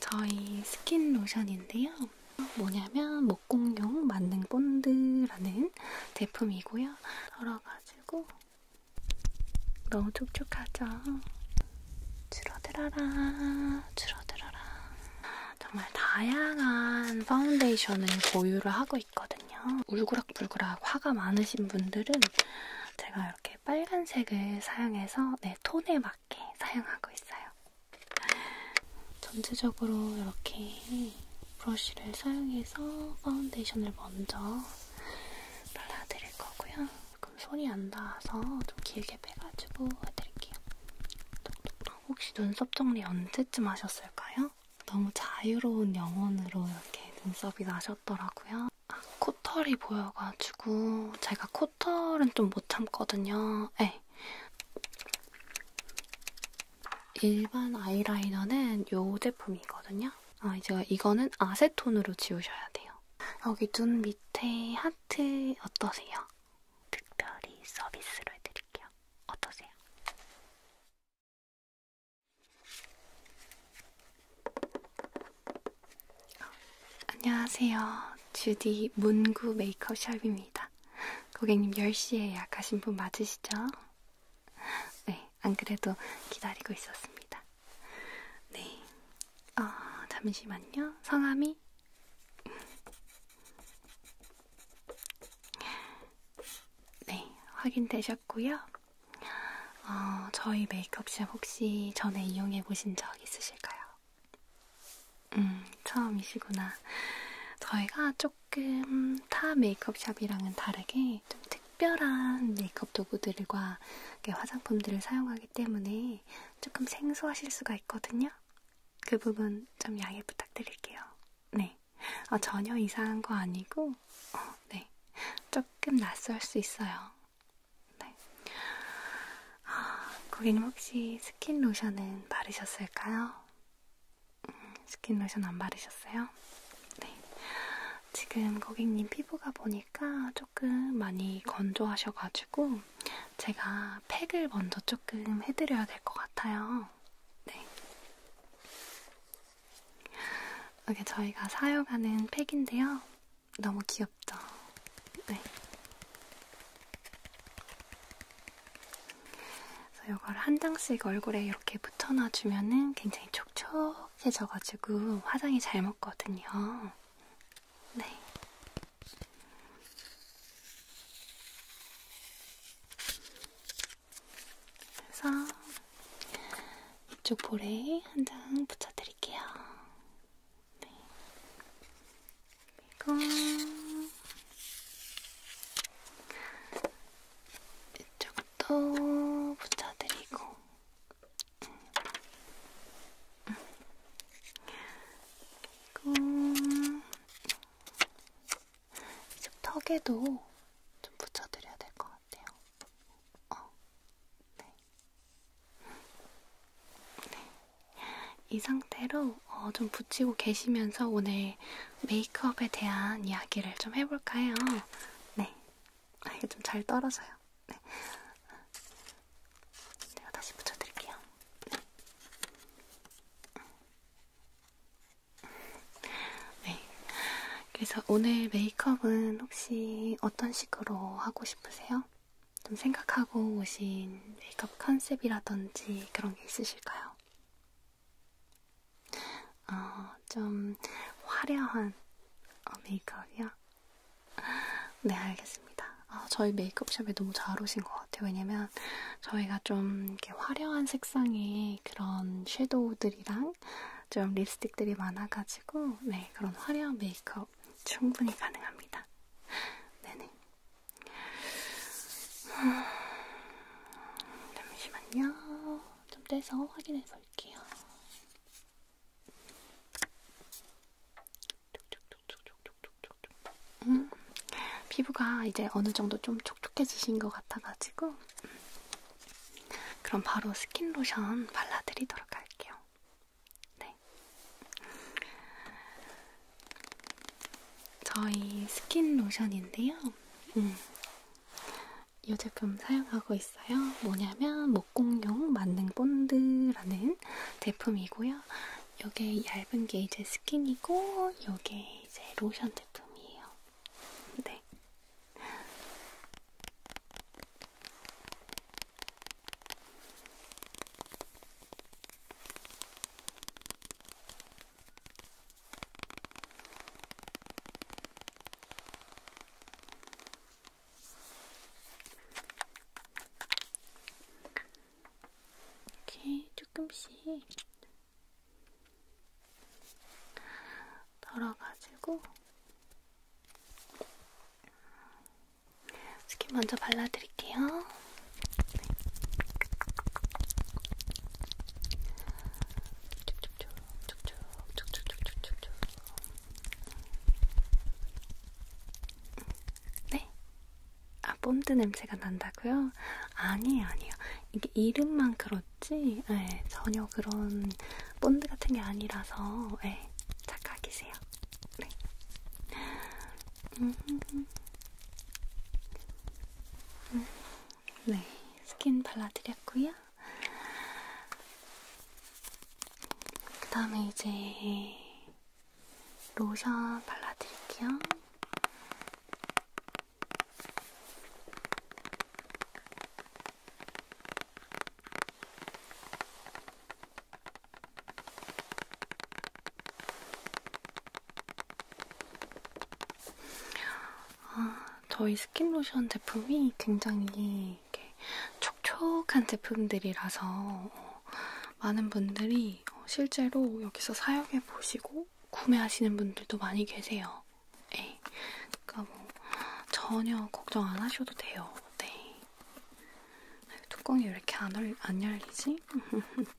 저희 스킨 로션인데요. 뭐냐면 목공용 만능 본드라는 제품이고요. 덜어가지고 너무 촉촉하죠? 줄어들어라, 줄어들어라. 정말 다양한 파운데이션을 보유를 하고 있거든요. 울그락불그락 화가 많으신 분들은 제가 이렇게 빨간색을 사용해서 네, 톤에 맞게 사용하고 있어요. 전체적으로 이렇게 브러쉬를 사용해서 파운데이션을 먼저 발라드릴 거고요. 그럼 소리 안 닿아서 좀 길게 빼가지고 해드릴게요. 혹시 눈썹 정리 언제쯤 하셨을까요? 너무 자유로운 영혼으로 이렇게 눈썹이 나셨더라고요. 아, 코털이 보여가지고 제가 코 토탈은 좀 못 참거든요. 네. 일반 아이라이너는 이 제품이거든요. 아, 제가 이거는 아세톤으로 지우셔야 돼요. 여기 눈 밑에 하트 어떠세요? 특별히 서비스로 해드릴게요. 어떠세요? 안녕하세요. 주디 문구 메이크업 샵입니다. 고객님 10시에 예약하신 분 맞으시죠? 네, 안 그래도 기다리고 있었습니다. 네, 어, 잠시만요. 성함이? 네, 확인되셨고요. 어, 저희 메이크업 샵 혹시 전에 이용해 보신 적 있으실까요? 음, 처음이시구나. 저희가 조금 타 메이크업샵이랑은 다르게 좀 특별한 메이크업 도구들과 화장품들을 사용하기 때문에 조금 생소하실 수가 있거든요. 그 부분 좀 양해 부탁드릴게요. 네. 어, 전혀 이상한 거 아니고, 어, 네. 조금 낯설 수 있어요. 네. 아, 고객님 혹시 스킨 로션은 바르셨을까요? 음, 스킨 로션 안 바르셨어요? 네. 지금 고객님 피부가 보니까 조금 많이 건조하셔가지고 제가 팩을 먼저 조금 해드려야 될 것 같아요. 네. 이게 저희가 사용하는 팩인데요. 너무 귀엽죠? 네. 그래서 이걸 한 장씩 얼굴에 이렇게 붙여놔주면은 굉장히 촉촉해져가지고 화장이 잘 먹거든요. 네. 그래서 이쪽 볼에 한 장 붙여드릴게요. 네. 그리고 이쪽도 붙여드리고 그리고 이쪽 턱에도 좀 붙여드려야 될 것 같아요. 어, 네. 네. 이 상태로 어, 좀 붙이고 계시면서 오늘 메이크업에 대한 이야기를 좀 해볼까 해요. 네. 아, 이게 좀 잘 떨어져요. 네. 제가 다시 붙여드릴게요. 네. 네. 그래서 오늘 메이크업은 혹시 어떤 식으로 하고 싶으세요? 좀 생각하고 오신 메이크업 컨셉이라든지 그런 게 있으실까요? 어, 좀 화려한 어, 메이크업이요? 네, 알겠습니다. 어, 저희 메이크업샵에 너무 잘 오신 것 같아요. 왜냐면 저희가 좀 이렇게 화려한 색상의 그런 섀도우들이랑 좀 립스틱들이 많아가지고, 네, 그런 화려한 메이크업 충분히 가능합니다. 네네. 아, 잠시만요. 좀 떼서 확인해 볼게요. 음, 피부가 이제 어느 정도 좀 촉촉해지신 것 같아가지고 그럼 바로 스킨 로션 발라드리도록 할게요. 네. 저희 스킨 로션인데요. 음. 이 제품 사용하고 있어요. 뭐냐면 목공용 만능 본드라는 제품이고요. 이게 얇은 게 이제 스킨이고, 이게 이제 로션 제품이에요. 네. 이렇게 조금씩 덜어가지고 스킨 먼저 발라드릴게요. 네. 네? 아, 뽐드 냄새가 난다고요? 아니에요, 아니에요. 이게 이름만 그렇지, 네, 전혀 그런 본드 같은 게 아니라서, 네, 착각이세요. 네, 스킨 발라드렸고요. 그 다음에 이제 로션 발라드릴게요. 아, 저희 스킨로션 제품이 굉장히 이렇게 촉촉한 제품들이라서 어, 많은 분들이 어, 실제로 여기서 사용해 보시고 구매하시는 분들도 많이 계세요. 네. 그러니까 뭐 전혀 걱정 안 하셔도 돼요. 네. 뚜껑이 왜 이렇게 안, 얼, 안 열리지?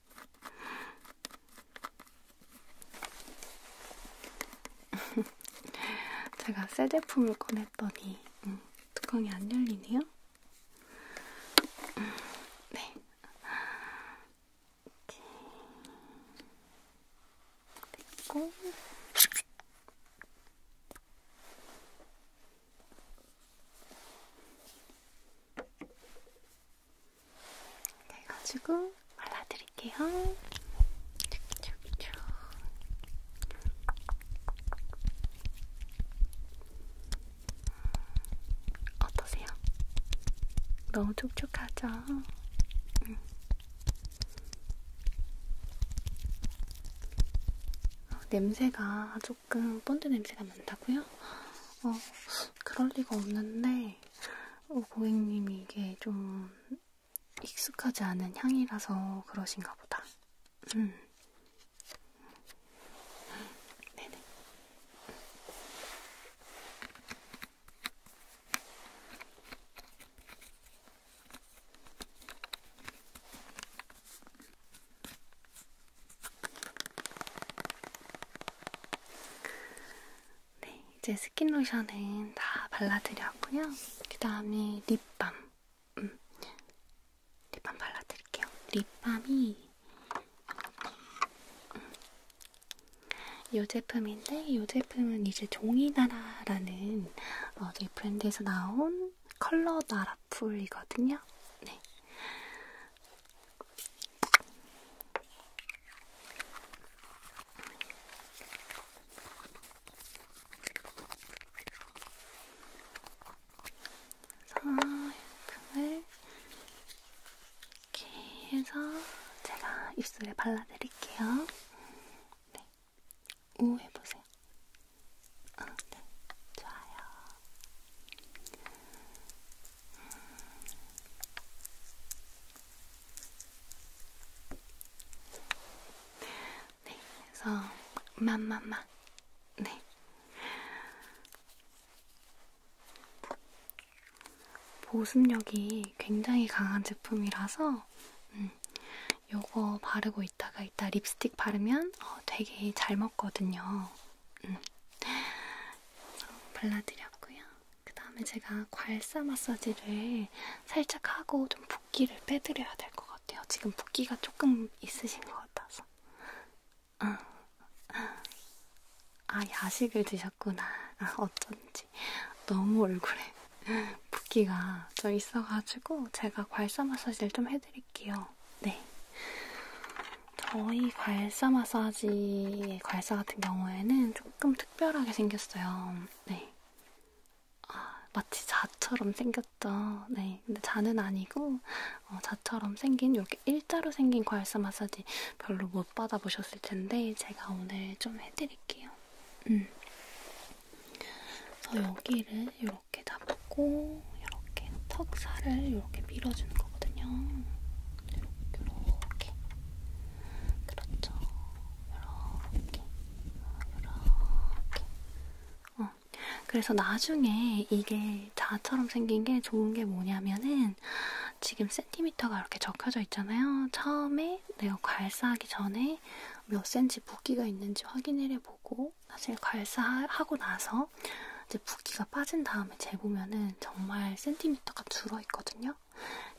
제가 새 제품을 꺼냈더니 음, 뚜껑이 안 열리네요. 음, 네. 됐고. 그래가지고 발라드릴게요. 쭉쭉쭉. 음, 어떠세요? 너무 촉촉하죠? 응. 음. 어, 냄새가 아주 조금 본드 냄새가 난다고요? 어, 그럴 리가 없는데 어, 고객님이 이게 좀 익숙하지 않은 향이라서 그러신가 보다. 음. 네네. 네, 이제 스킨 로션은 다 발라드렸고요. 그 다음에 립밤. 음, 립밤 발라드릴게요. 립밤이 음, 이 제품인데 이 제품은 이제 종이나라라는 어, 저희 네 브랜드에서 나온 이거는 컬러 나라풀이거든요. 네. 그래서 금을 이렇게 해서 제가 입술에 발라드릴게요. 네. 오 해보세요. 보세요. 아, 어, 네, 좋아요. 음. 네, 그래서 맘맘맘. 네. 보습력이 굉장히 강한 제품이라서 음, 요거 바르고 있다가 이따 립스틱 바르면 어, 되게 잘 먹거든요. 음. 발라드렸고요. 그 다음에 제가 괄사 마사지를 살짝 하고 좀 붓기를 빼드려야 될 것 같아요. 지금 붓기가 조금 있으신 것 같아서. 아, 아 야식을 드셨구나. 아, 어쩐지 너무 얼굴에 붓기가 좀 있어가지고 제가 괄사 마사지를 좀 해드릴게요. 해드릴게요. 네. 저희 괄사 마사지의 괄사 같은 경우에는 조금 특별하게 생겼어요. 네. 아, 마치 자처럼 생겼죠. 네. 근데 자는 아니고, 어, 자처럼 생긴, 이렇게 일자로 생긴 괄사 마사지 별로 못 받아보셨을 텐데, 제가 오늘 좀 해드릴게요. 음. 그래서 여기를 이렇게 이렇게 잡고 이렇게 턱살을 이렇게 밀어주는 거거든요. 이렇게, 이렇게. 그렇죠. 이렇게, 이렇게. 어. 그래서 나중에 이게 자처럼 생긴 게 좋은 게 뭐냐면은 지금 센티미터가 이렇게 적혀져 있잖아요. 처음에 내가 괄사하기 전에 몇 센치 붓기가 있는지 확인을 해보고 나중에 괄사하고 나서 이제 붓기가 빠진 다음에 재보면은 정말 센티미터가 줄어있거든요.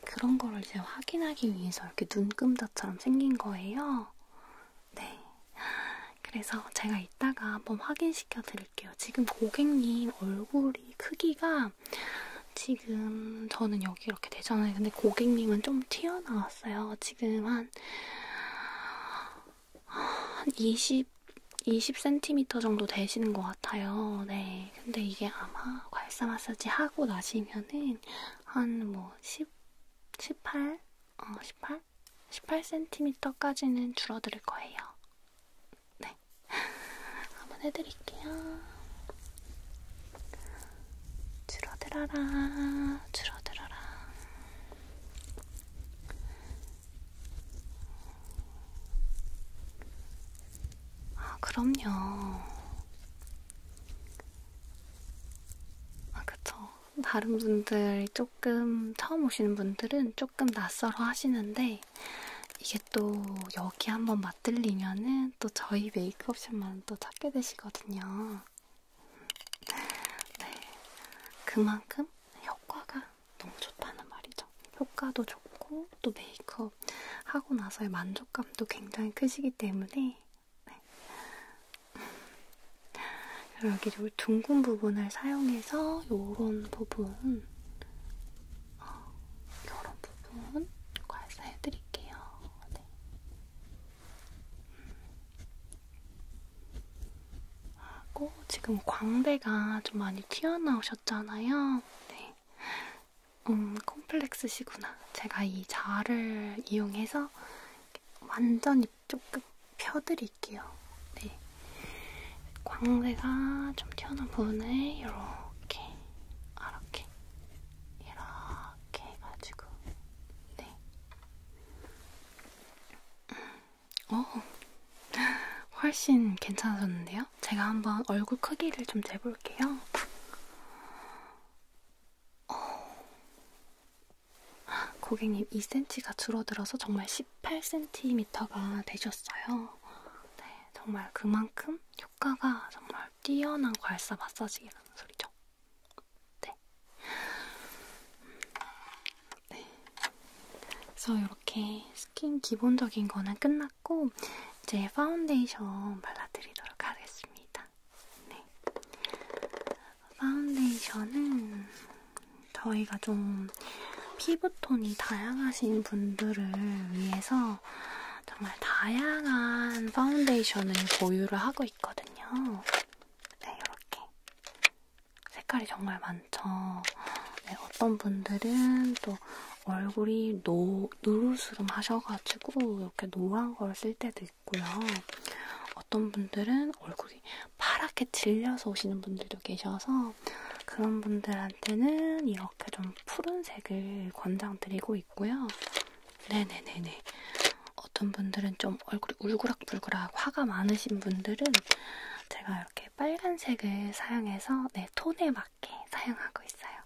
그런 거를 이제 확인하기 위해서 이렇게 눈금자처럼 생긴 거예요. 네. 그래서 제가 이따가 한번 확인시켜 드릴게요. 지금 고객님 얼굴이 크기가 지금 저는 여기 이렇게 되잖아요. 근데 고객님은 좀 튀어나왔어요. 지금 한한 20, 20cm 정도 되시는 것 같아요. 네. 근데 이게 아마 괄사 마사지 하고 나시면은 한 뭐 10, 18? 어, 18? 18cm까지는 줄어들 거예요. 네. 한번 해드릴게요. 줄어들어라, 줄어들어라. 아, 그럼요. 아, 그쵸. 다른 분들, 조금, 처음 오시는 분들은 조금 낯설어 하시는데, 이게 또 여기 한번 맛들리면은 또 저희 메이크업샵만 또 찾게 되시거든요. 네, 그만큼 효과가 너무 좋다는 말이죠. 효과도 좋고 또 메이크업 하고 나서의 만족감도 굉장히 크시기 때문에 네. 여기 좀 둥근 부분을 사용해서 요런 부분 어, 요런 부분 괄사해드릴게요. 네. 음. 하고 지금 광대가 좀 많이 튀어나오셨잖아요. 네. 음, 콤플렉스시구나. 제가 이 자를 이용해서 완전히 조금 펴드릴게요. 네. 광대가 좀 튀어나온 부분에 이렇게, 이렇게, 이렇게 해가지고, 네. 음. 어, 훨씬 괜찮아졌는데요? 제가 한번 얼굴 크기를 좀 재볼게요. 어. 고객님 2cm가 줄어들어서 정말 18cm가 되셨어요. 네, 정말 그만큼 효과가 정말 뛰어난 괄사 마사지라는 소리죠. 네. 네. 그래서 이렇게 스킨 기본적인 거는 끝났고 이제 파운데이션 발라드리도록 하겠습니다. 네. 파운데이션은 저희가 좀 피부톤이 다양하신 분들을 위해서 정말 다양한 파운데이션을 보유를 하고 있거든요. 네, 이렇게 색깔이 정말 많죠. 네, 어떤 분들은 또 얼굴이 노, 누르스름 하셔가지고 이렇게 노란 걸 쓸 때도 있고요. 어떤 분들은 얼굴이 파랗게 질려서 오시는 분들도 계셔서 그런 분들한테는 이렇게 좀 푸른색을 권장드리고 있고요. 네네네네. 어떤 분들은 좀 얼굴이 울그락 불그락불그락 화가 많으신 분들은 제가 이렇게 빨간색을 사용해서 네, 톤에 맞게 사용하고 있어요.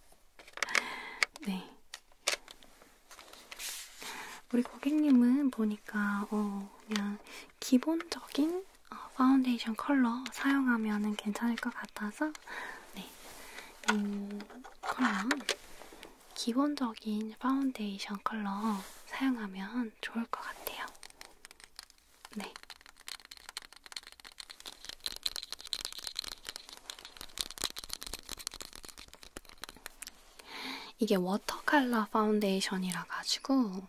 네. 우리 고객님은 보니까 어, 그냥 기본적인 어, 파운데이션 컬러 사용하면 괜찮을 것 같아서 네, 이 음, 컬러 기본적인 파운데이션 컬러 사용하면 좋을 것 같아요. 네. 이게 워터컬러 파운데이션이라 가지고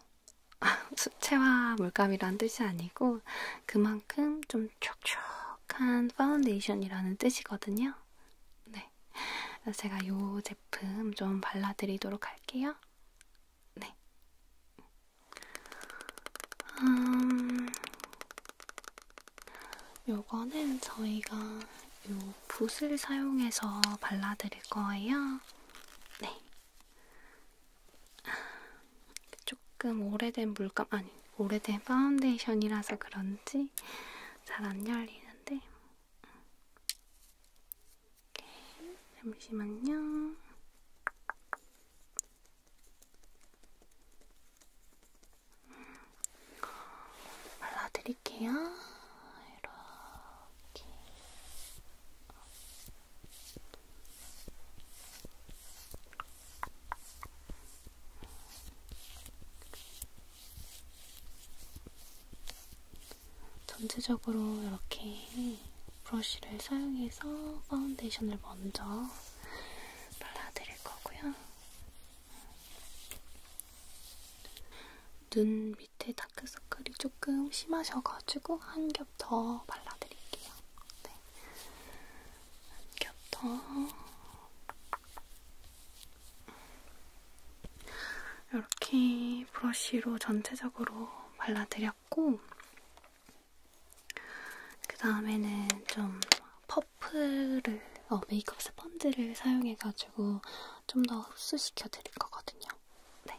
아, 수채화 물감이란 뜻이 아니고 그만큼 좀 촉촉한 파운데이션이라는 뜻이거든요. 네. 제가 이 제품 좀 발라드리도록 할게요. 네. 음, 요거는 저희가 요 붓을 사용해서 발라드릴 거예요. 네. 조금 오래된 물감, 아니, 오래된 파운데이션이라서 그런지 잘 안 열리는데, 이렇게. 잠시만요. 발라드릴게요. 이렇게. 전체적으로 이렇게 브러쉬를 사용해서 파운데이션을 먼저 발라드릴 거고요. 눈 밑에 다크서클이 조금 심하셔가지고 한 겹 더 발라드릴게요. 네. 한 겹 더. 이렇게 이 브러쉬로 전체적으로 발라드렸고, 그 다음에는 좀 퍼프를, 어, 메이크업 스펀지를 사용해가지고 좀 더 흡수시켜 드릴 거거든요. 네.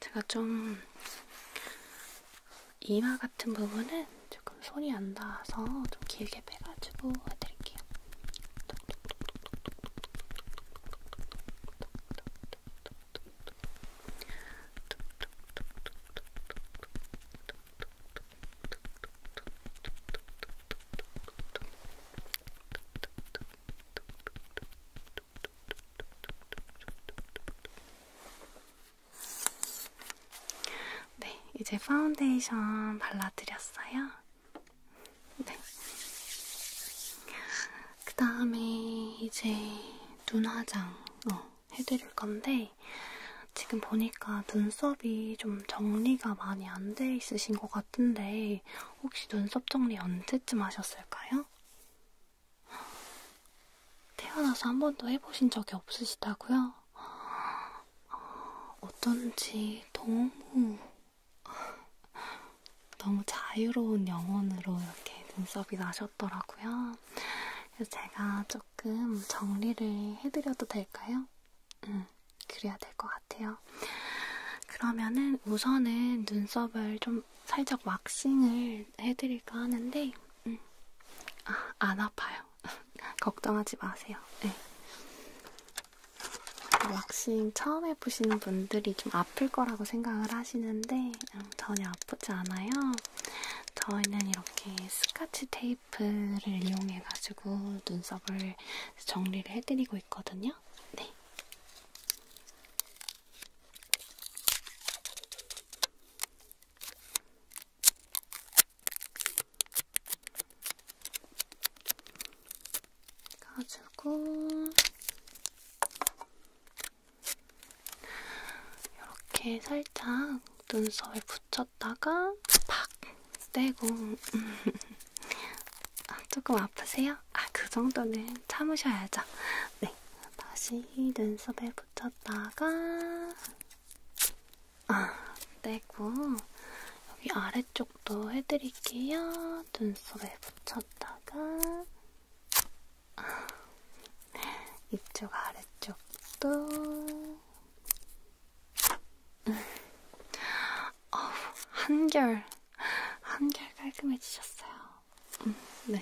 제가 좀 이마 같은 부분은 조금 소리 안 닿아서 좀 길게 빼가지고 해드릴게요. 네, 이제 파운데이션 발라드렸어요. 네. 그 다음에 이제 눈 화장 어, 해드릴 건데 지금 보니까 눈썹이 좀 정리가 많이 안 돼 있으신 것 같은데 혹시 눈썹 정리 언제쯤 하셨을까요? 태어나서 한 번도 해보신 적이 없으시다고요? 어쩐지 너무 너무 자유로운 영혼으로 이렇게 눈썹이 나셨더라고요. 그래서 제가 조금 정리를 해드려도 될까요? 음, 그래야 될 것 같아요. 그러면은 우선은 눈썹을 좀 살짝 왁싱을 해드릴까 하는데, 음, 아, 안 아파요. 걱정하지 마세요. 네. 왁싱 처음 해보시는 분들이 좀 아플 거라고 생각을 하시는데 음, 전혀 아프지 않아요. 저희는 이렇게 스카치 테이프를 이용해가지고 눈썹을 정리를 해드리고 있거든요. 네. 가지고 이렇게 살짝 눈썹에 붙였다가 팍 떼고 아, 조금 아프세요? 아, 그 정도는 참으셔야죠. 네, 다시 눈썹에 붙였다가 아, 떼고 여기 아래쪽도 해드릴게요. 눈썹에 붙였다가 이쪽 아래쪽도 어우, 한결 한결 깔끔해지셨어요. 음, 네.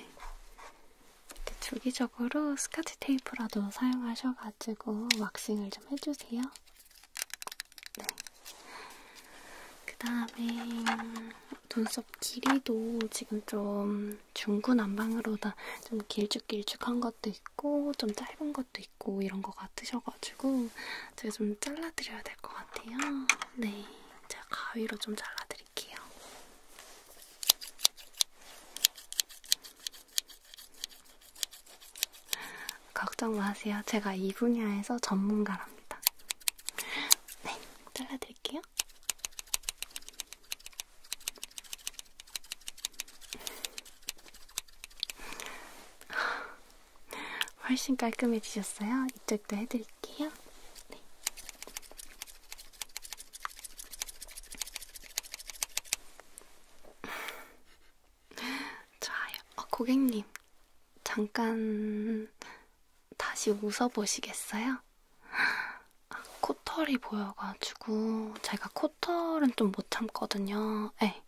이렇게 주기적으로 스카치 테이프라도 사용하셔가지고 왁싱을 좀 해주세요. 네. 그 다음에 눈썹 길이도 지금 좀 중구난방으로 다좀 길쭉길쭉한 것도 있고 좀 짧은 것도 있고 이런 것 같으셔가지고 제가 좀 잘라드려야 될 것 같아요. 네, 제가 가위로 좀 잘라드릴게요. 걱정 마세요. 제가 이 분야에서 전문가랍니다. 네, 잘라드릴게요. 훨씬 깔끔해지셨어요? 이쪽도 해드릴게요. 네. 좋아요. 어, 고객님, 잠깐 다시 웃어보시겠어요? 아, 코털이 보여가지고 제가 코털은 좀 못 참거든요. 에 예,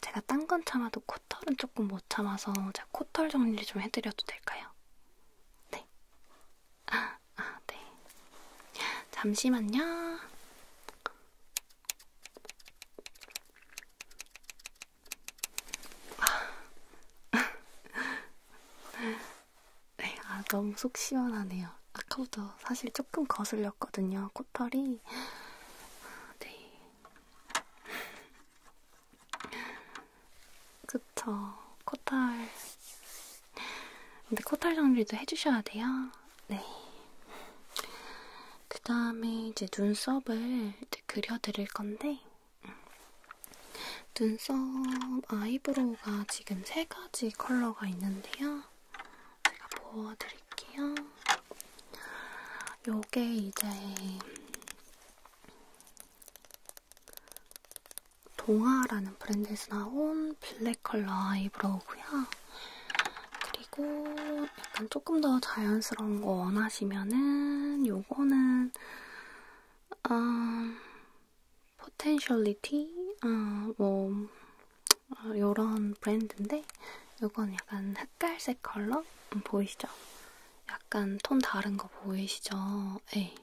제가 딴 건 참아도 코털은 조금 못 참아서 제가 코털 정리 좀 해드려도 될까요? 네. 아, 아 네. 잠시만요. 네, 아, 너무 속 시원하네요. 아까부터 사실 조금 거슬렸거든요, 코털이. 네. 그쵸, 코털. 근데 코털 정리도 해주셔야 돼요. 네. 그 다음에 이제 눈썹을 이제 그려드릴 건데, 눈썹, 아이브로우가 지금 세 가지 컬러가 있는데요. 제가 보여드릴게요. 요게 이제 동아라는 브랜드에서 나온 블랙 컬러 아이브로우고요. 그리고 약간 조금 더 자연스러운 거 원하시면은 요거는 아, 포텐셜리티, 아, 뭐, 아, 요런 브랜드인데, 요건 약간 흑갈색 컬러? 음, 보이시죠? 약간 톤 다른 거 보이시죠? 예.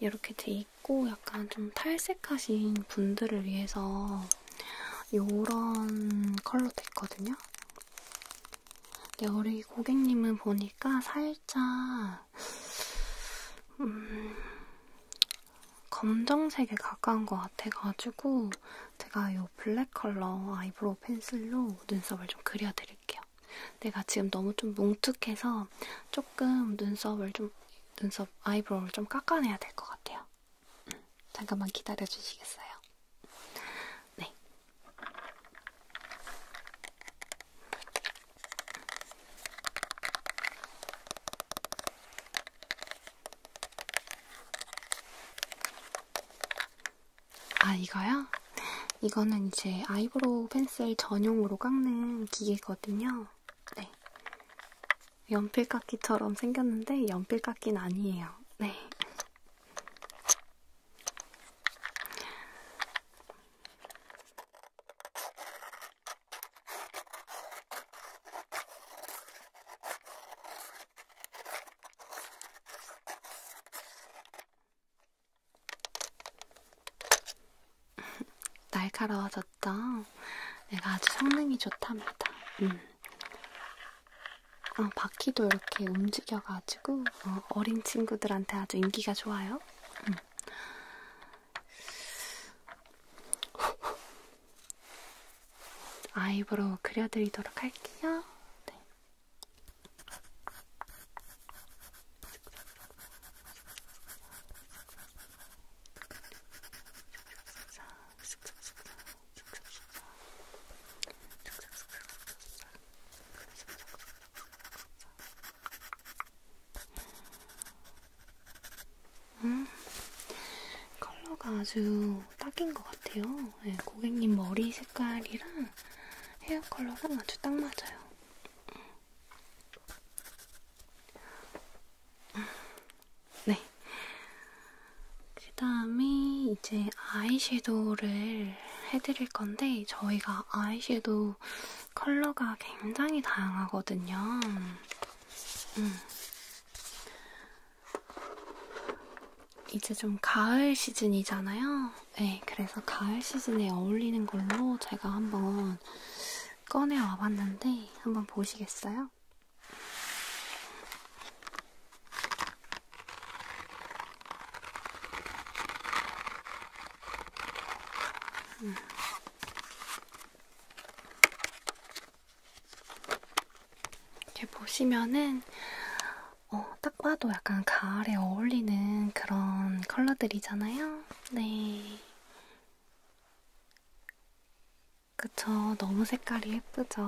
이렇게 돼 있고, 약간 좀 탈색하신 분들을 위해서 요런 컬러도 있거든요? 네, 우리 고객님은 보니까 살짝, 음, 검정색에 가까운 것 같아가지고, 제가 이 블랙 컬러 아이브로우 펜슬로 눈썹을 좀 그려드릴게요. 내가 지금 너무 좀 뭉툭해서 조금 눈썹을 좀, 눈썹 아이브로우를 좀 깎아내야 될 것 같아요. 음, 잠깐만 기다려 주시겠어요? 네. 아, 이거요? 이거는 이제 아이브로우 펜슬 전용으로 깎는 기계거든요. 네. 연필깎이처럼 생겼는데 연필깎이는 아니에요. 네. 날카로워졌죠? 내가 아주 성능이 좋답니다. 음. 아, 바퀴도 이렇게 움직여가지고 그래가지고 어, 어린 친구들한테 아주 인기가 좋아요. 음. 아이브로 그려드리도록 할게요. 네. 음, 컬러가 아주 딱인 것 같아요. 네, 고객님 머리 색깔이랑 헤어 컬러랑 아주 딱 맞아요. 네. 그 다음에 이제 아이섀도우를 해드릴 건데, 저희가 아이섀도우 컬러가 굉장히 다양하거든요. 음. 이제 좀 가을 시즌이잖아요. 네, 그래서 가을 시즌에 어울리는 걸로 제가 한번 꺼내와 봤는데, 한번 보시겠어요? 이렇게 보시면은 어, 딱 봐도 약간 가을에 어울리는 그런 컬러들이잖아요. 네. 그쵸. 너무 색깔이 예쁘죠.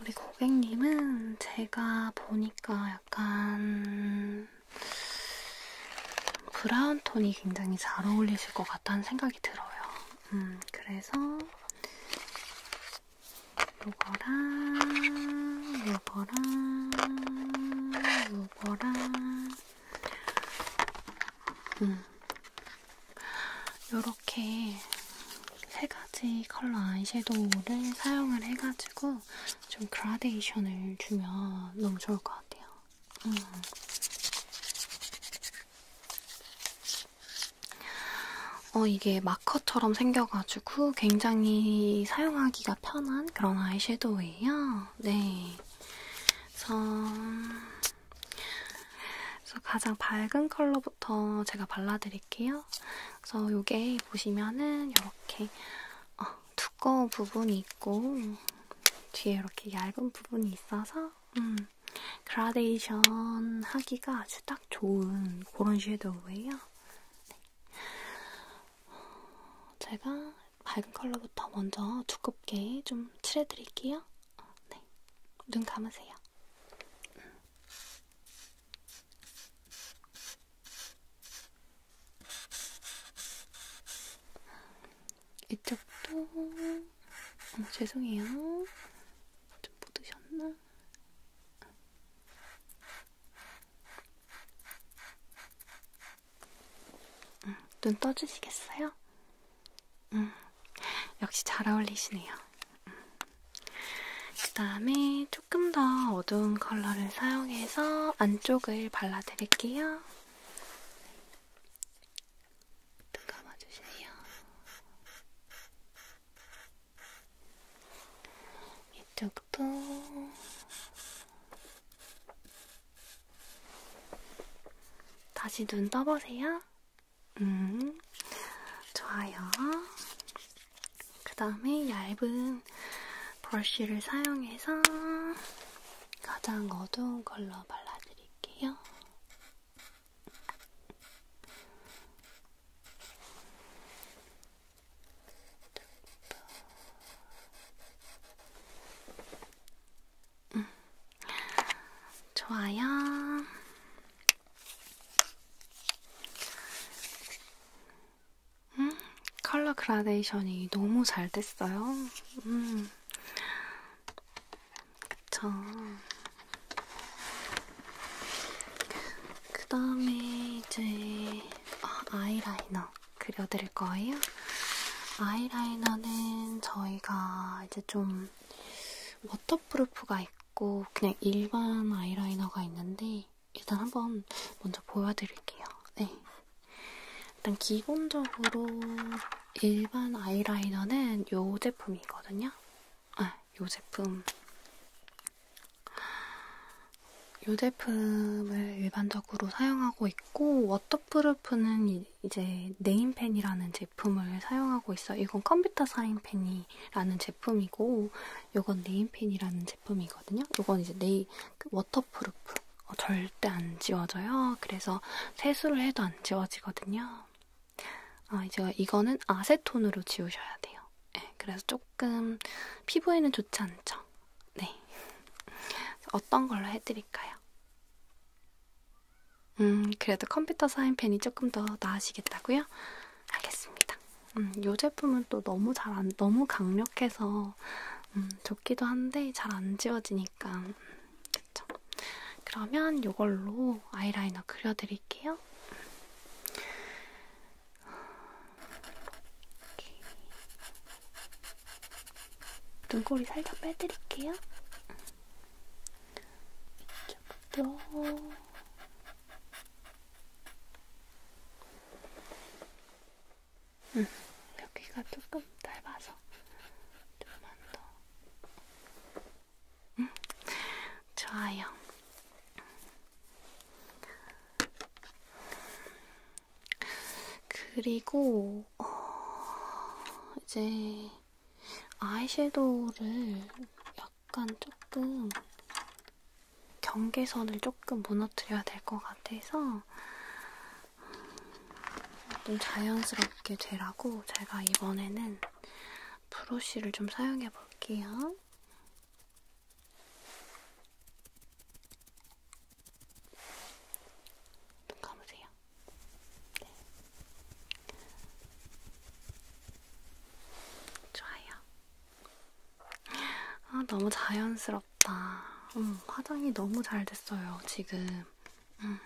그리고 고객님은 제가 보니까 약간 브라운 톤이 굉장히 잘 어울리실 것 같다는 생각이 들어요. 음, 그래서 요거랑 요거랑 요거랑 음. 요렇게 세 가지 컬러 아이섀도우를 사용을 해가지고 좀 그라데이션을 주면 너무 좋을 것 같아요. 음. 어, 이게 마커처럼 생겨가지고 굉장히 사용하기가 편한 그런 아이섀도우예요. 네. 그래서, 그래서 가장 밝은 컬러부터 제가 발라드릴게요. 그래서 요게 보시면은 이렇게 어, 두꺼운 부분이 있고 뒤에 이렇게 얇은 부분이 있어서 음, 그라데이션 하기가 아주 딱 좋은 그런 섀도우예요. 네. 제가 밝은 컬러부터 먼저 두껍게 좀 칠해드릴게요. 네. 눈 감으세요. 이쪽도 어, 죄송해요. 좀 묻으셨나? 음, 눈 떠주시겠어요? 음, 역시 잘 어울리시네요. 음. 그 다음에 조금 더 어두운 컬러를 사용해서 안쪽을 발라드릴게요. 눈 감아주세요. 이쪽도 다시 눈 떠보세요. 음, 좋아요. 그 다음에 얇은 브러쉬를 사용해서 가장 어두운 컬러 발라드릴게요. 음. 좋아요. 음, 컬러 그라데이션이 너무 잘 됐어요. 음, 그쵸. 그 다음에 이제 아, 아이라이너 그려드릴 거예요. 아이라이너는 저희가 이제 좀 워터프루프가 있고 그냥 일반 아이라이너가 있는데 일단 한번 먼저 보여드릴게요. 네. 일단 기본적으로 일반 아이라이너는 이 제품이거든요. 아, 이 제품. 이 제품을 일반적으로 사용하고 있고 워터프루프는 이제 네임펜이라는 제품을 사용하고 있어요. 이건 컴퓨터 사인펜이 라는 제품이고 요건 네임펜이라는 제품이거든요. 요건 이제 네이 그 워터프루프 어, 절대 안 지워져요. 그래서 세수를 해도 안 지워지거든요. 아, 이제 이거는 아세톤으로 지우셔야 돼요. 네, 그래서 조금 피부에는 좋지 않죠. 네. 어떤 걸로 해드릴까요? 음, 그래도 컴퓨터 사인펜이 조금 더 나으시겠다고요? 하겠습니다. 음, 이 제품은 또 너무 잘안 너무 강력해서 음, 좋기도 한데 잘 안 지워지니까 음, 그렇죠. 그러면 이걸로 아이라이너 그려드릴게요. 이렇게. 눈꼬리 살짝 빼드릴게요. 이쪽도 응, 음, 여기가 조금 닮아서 조금만 더. 응, 음, 좋아요. 그리고 어, 이제 아이섀도우를 약 약간 조금 경계선을 조금 무너뜨려야 될 것 같아서 좀 자연스럽게 되라고 제가 이번에는 브러쉬를 좀 사용해 볼게요. 눈 감으세요. 네. 좋아요. 아, 너무 자연스럽다. 음, 화장이 너무 잘 됐어요, 지금. 음.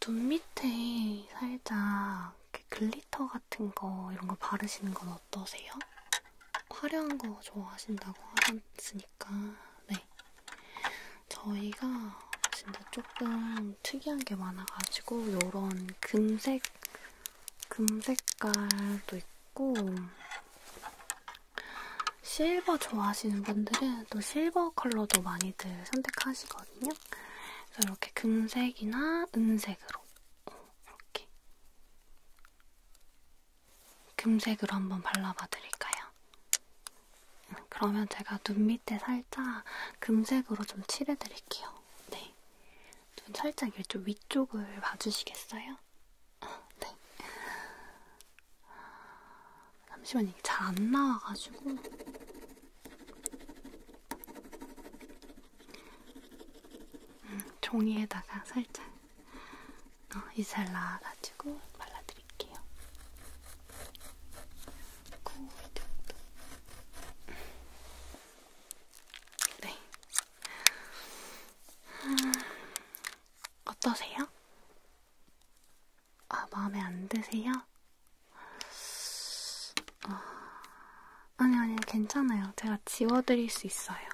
눈 밑에 살짝 글리터 같은 거, 이런 거 바르시는 건 어떠세요? 화려한 거 좋아하신다고 하셨으니까, 네. 저희가 진짜 조금 특이한 게 많아가지고, 요런 금색 금 색깔도 있고 실버 좋아하시는 분들은 또 실버 컬러도 많이들 선택하시거든요. 그래서 이렇게 금색이나 은색으로 어, 이렇게 금색으로 한번 발라봐 드릴까요? 그러면 제가 눈 밑에 살짝 금색으로 좀 칠해드릴게요. 네. 좀 살짝 이렇게 좀 위쪽을 봐주시겠어요? 아, 네. 잠시만 이게 잘 안 나와가지고. 음, 종이에다가 살짝 어, 이슬 나와가지고 발라드릴게요. 고, 이 정도. 네. 음, 어떠세요? 아, 마음에 안 드세요? 어, 아니, 아니, 괜찮아요. 제가 지워드릴 수 있어요.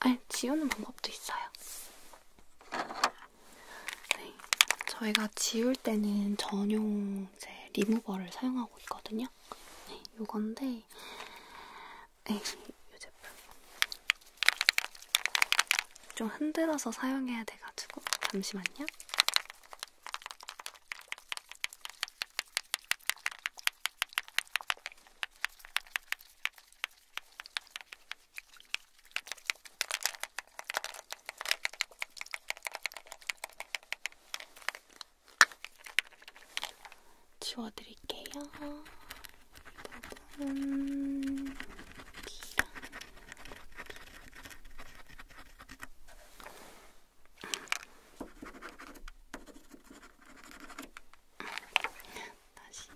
아니, 지우는 방법도 있어요. 네. 저희가 지울 때는 전용 이제 리무버를 사용하고 있거든요. 볼게요. 네, 요건데, 에이, 요 제품. 좀 흔들어서 사용해야 돼가지고, 잠시만요. 지워드릴게요. 이 부분은 비가 다시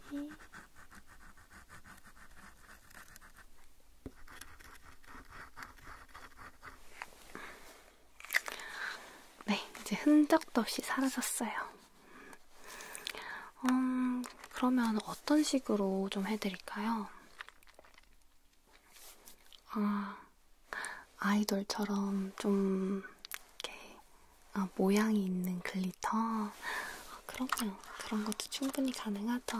네, 이제 흔적도 없이 사라졌어요. 음, 그러면 어떤 식으로 좀 해드릴까요? 아, 아이돌처럼 좀 이렇게 아, 모양이 있는 글리터. 아, 그럼요, 그런 것도 충분히 가능하죠.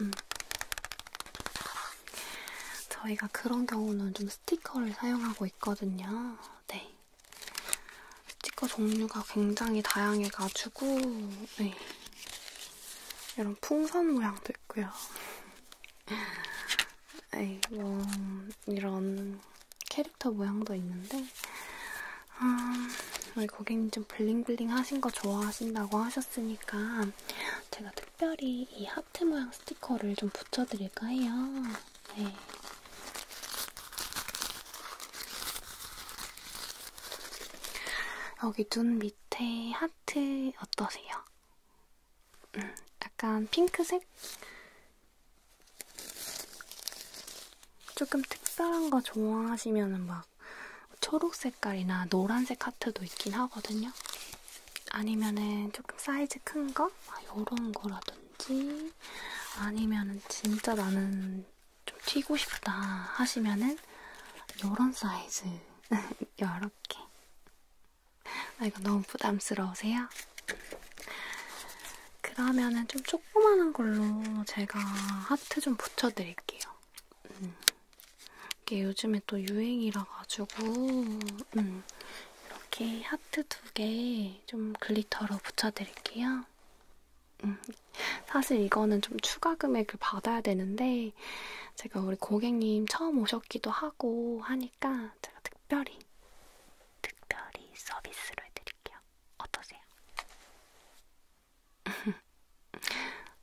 음. 저희가 그런 경우는 좀 스티커를 사용하고 있거든요. 네. 스티커 종류가 굉장히 다양해가지고, 네. 이런 풍선 모양도 있고요. 에이, 네, 뭐, 이런 캐릭터 모양도 있는데, 아, 우리 고객님 좀 블링블링 하신 거 좋아하신다고 하셨으니까, 제가 특별히 이 하트 모양 스티커를 좀 붙여드릴까 해요. 네. 여기 눈 밑에 하트 어떠세요? 음, 약간 핑크색? 조금 특별한 거 좋아하시면 막 초록 색깔이나 노란색 하트도 있긴 하거든요. 아니면은 조금 사이즈 큰 거? 아, 요런 거라든지 아니면은 진짜 나는 좀 튀고 싶다 하시면은 요런 사이즈 요렇게 아 이거 너무 부담스러우세요? 그러면은 좀 조그만한 걸로 제가 하트 좀 붙여드릴게요. 음. 이게 요즘에 또 유행이라 가지고 음, 이렇게 하트 두 개 좀 글리터로 붙여드릴게요. 음, 사실 이거는 좀 추가 금액을 받아야 되는데 제가 우리 고객님 처음 오셨기도 하고 하니까 제가 특별히 특별히 서비스로 해드릴게요. 어떠세요?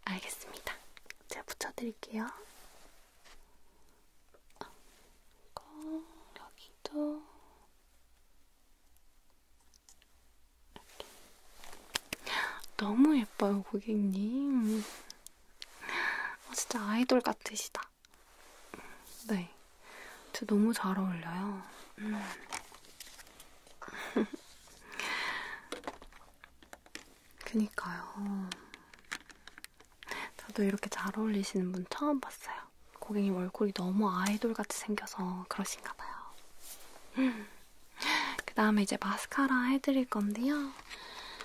알겠습니다. 제가 붙여드릴게요. 그리고 여기도 이렇게. 너무 예뻐요, 고객님. 어, 진짜 아이돌 같으시다. 네, 진짜 너무 잘 어울려요. 음. 그니까요. 저도 이렇게 잘 어울리시는 분 처음 봤어요. 고객님 얼굴이 너무 아이돌같이 생겨서 그러신가 봐요. 그 다음에 이제 마스카라 해드릴 건데요.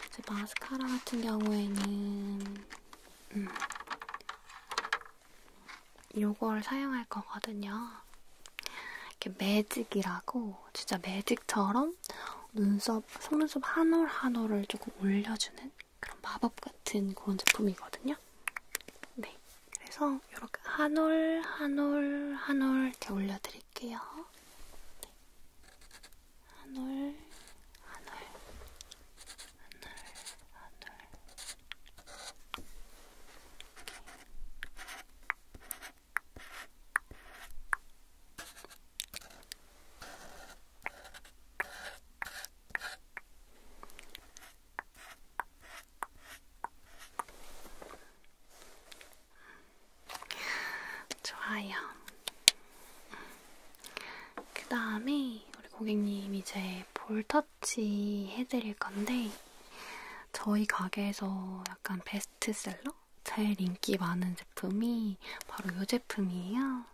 이제 마스카라 같은 경우에는 음, 요걸 사용할 거거든요. 이렇게 매직이라고 어, 진짜 매직처럼 눈썹, 속눈썹 한올한 한 올을 조금 올려주는 그런 마법 같은 그런 제품이거든요. 네, 그래서 이렇게 한올 한올 한올 이렇게 올려드릴게요. 네. 한올한올한올한올 좋아요. 그 다음에 우리 고객님 이제 볼터치 해드릴 건데 저희 가게에서 약간 베스트셀러? 제일 인기 많은 제품이 바로 이 제품이에요.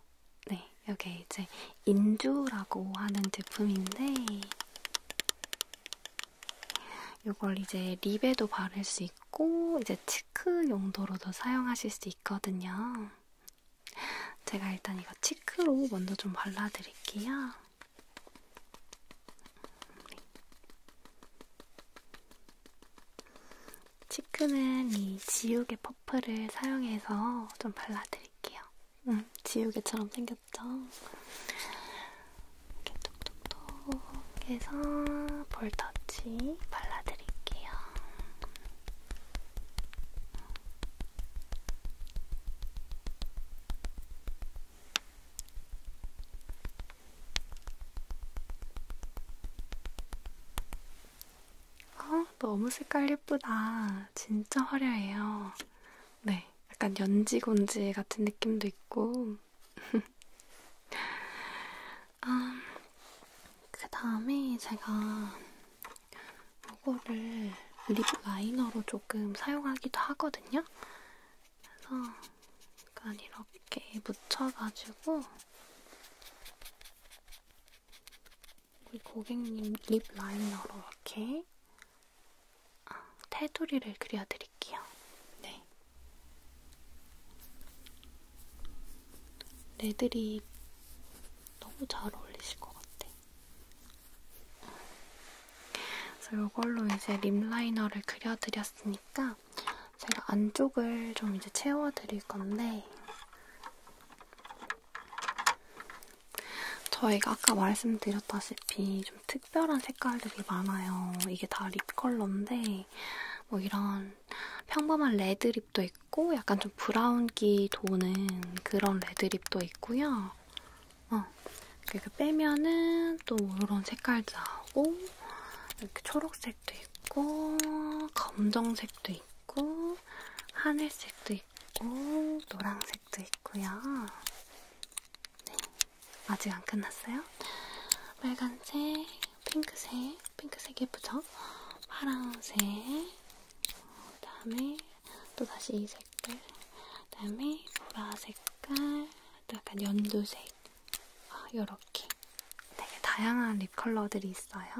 네, 이게 이제 인주라고 하는 제품인데, 이걸 이제 립에도 바를 수 있고, 이제 치크 용도로도 사용하실 수 있거든요. 제가 일단 이거 치크로 먼저 좀 발라드릴게요. 네. 치크는 이 지우개 퍼프를 사용해서 좀 발라드릴게요. 음, 지우개처럼 생겼죠? 이렇게 톡톡톡 해서 볼터치 발라드릴게요. 어, 너무 색깔 예쁘다. 진짜 화려해요. 네, 약간 연지곤지 같은 느낌도 있고. 음, 그 다음에 제가 이거를 립 라이너로 조금 사용하기도 하거든요. 그래서 약간 이렇게. 이렇게 묻혀가지고 우리 고객님 립 라이너로 이렇게 아, 테두리를 그려드릴게요. 네. 레드립 너무 잘 어울리실 것 같아. 그래서 이걸로 이제 립 라이너를 그려드렸으니까 테니까 제가 안쪽을 좀 이제 채워드릴 건데 저희가 아까 말씀드렸다시피 좀 특별한 색깔들이 많아요. 이게 다 립 컬러인데 뭐 이런 평범한 레드 립도 있고 약간 좀 브라운기 도는 그런 레드 립도 있고요. 어, 그러니까 빼면은 또 이런 색깔도 나오고 이렇게 초록색 파란색도 있고, 검정색도 있고, 하늘색도 있고, 노란색도 있고요. 네. 아직 안 끝났어요? 빨간색, 핑크색, 핑크색 예쁘죠? 파란색, 그 다음에 또 다시 이 색깔, 그 다음에 보라 색깔, 약간 연두색, 아, 요렇게 되게 다양한 립 컬러들이 있어요.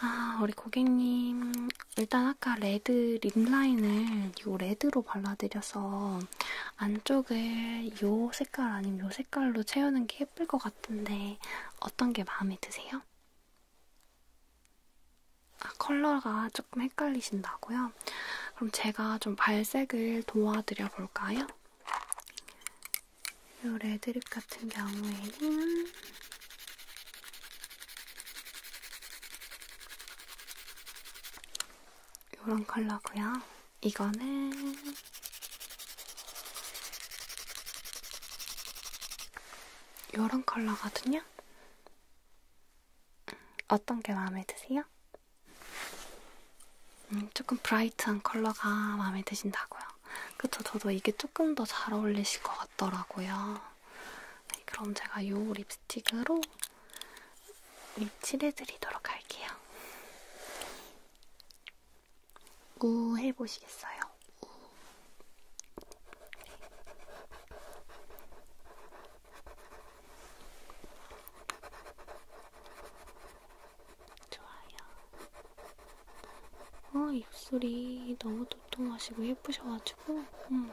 아, 우리 고객님, 일단 아까 레드 립 라인을 요 레드로 발라드려서 안쪽을 요 색깔 아니면 요 색깔로 채우는 게 예쁠 것 같은데 어떤 게 마음에 드세요? 아, 컬러가 조금 헷갈리신다고요? 그럼 제가 좀 발색을 도와드려 볼까요? 요 레드립 같은 경우에는 요런 컬러고요. 이거는 요런 컬러거든요. 어떤 게 마음에 드세요? 음, 조금 브라이트한 컬러가 마음에 드신다고요. 그쵸? 저도 이게 조금 더 잘 어울리실 것 같더라고요. 네, 그럼 제가 이 립스틱으로 립 칠해드리도록 할게요. 우 해보시겠어요? 우. 좋아요. 아, 입술이 너무 도톰하시고 예쁘셔가지고, 음,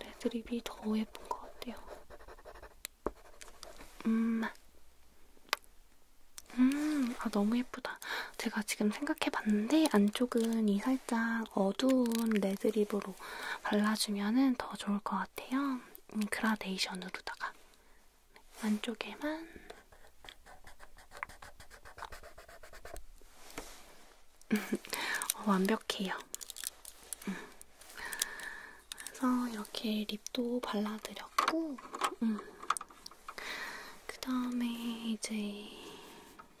레드립이 네, 더 예쁜 것 같아요. 음, 음, 아, 너무 예쁘다. 제가 지금 생각해봤는데, 안쪽은 이 살짝 어두운 레드립으로 발라주면 더 좋을 것 같아요. 음, 그라데이션으로다가. 안쪽에만 어, 완벽해요. 음. 그래서 이렇게 립도 발라드렸고, 음. 그 다음에 이제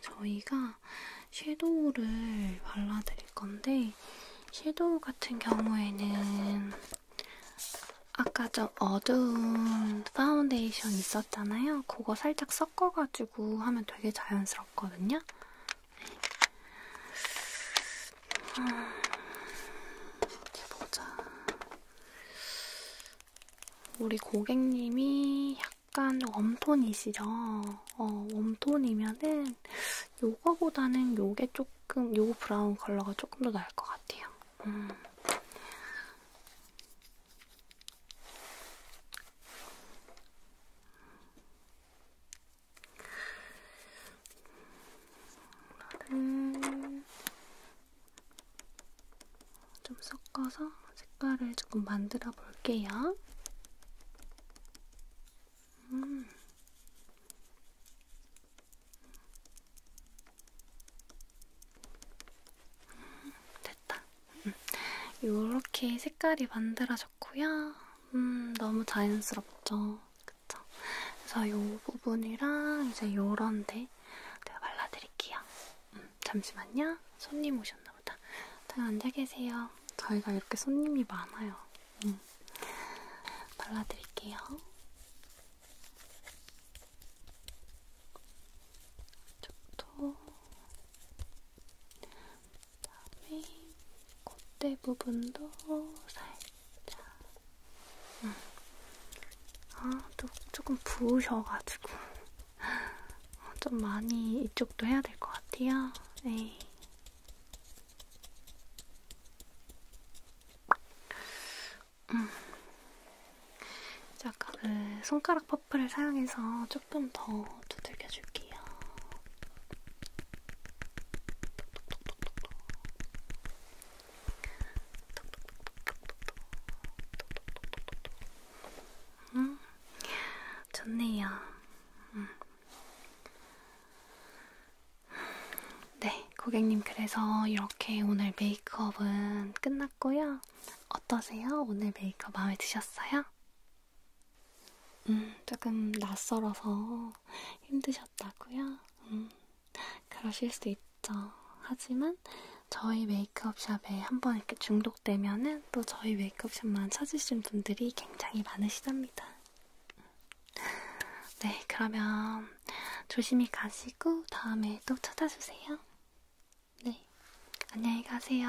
저희가 섀도우를 발라드릴 건데, 섀도우 같은 경우에는 아까 좀 어두운 파운데이션 있었잖아요. 그거 살짝 섞어가지고 하면 되게 자연스럽거든요. 음, 네. 아, 보자. 우리 고객님이 약간 웜톤이시죠? 어, 웜톤이면은 요거보다는 요게 조금, 요 브라운 컬러가 조금 더 나을 것 같아요. 같아요. 음. 오늘은 좀 섞어서 색깔을 조금 만들어 볼게요. 음. 음, 됐다. 이렇게 음, 색깔이 만들어졌고요. 음, 너무 자연스럽죠. 그쵸? 그래서 이 부분이랑 이제 요런데 제가 발라드릴게요. 음, 잠시만요. 손님 오셨나 보다. 다들 앉아 계세요. 저희가 이렇게 손님이 많아요. 음. 발라드릴게요. 이쪽도 그다음에 콧대 부분도 살짝 응. 아, 또 조금 부으셔가지고 어, 좀 많이 이쪽도 해야 될 것 같아요. 네. 음. 아까 그 네, 손가락 퍼프를 사용해서 조금 더 두들겨 줄게요. 음, 좋네요. 음. 네, 고객님 그래서 이렇게 오늘 메이크업은 끝났고요. 어떠세요? 오늘 메이크업 마음에 드셨어요? 음, 조금 낯설어서 힘드셨다고요? 음, 그러실 수 있죠. 하지만 저희 메이크업샵에 한번 이렇게 중독되면은 또 저희 메이크업샵만 찾으신 분들이 굉장히 많으시답니다. 네, 그러면 조심히 가시고 다음에 또 찾아주세요. 네, 안녕히 가세요.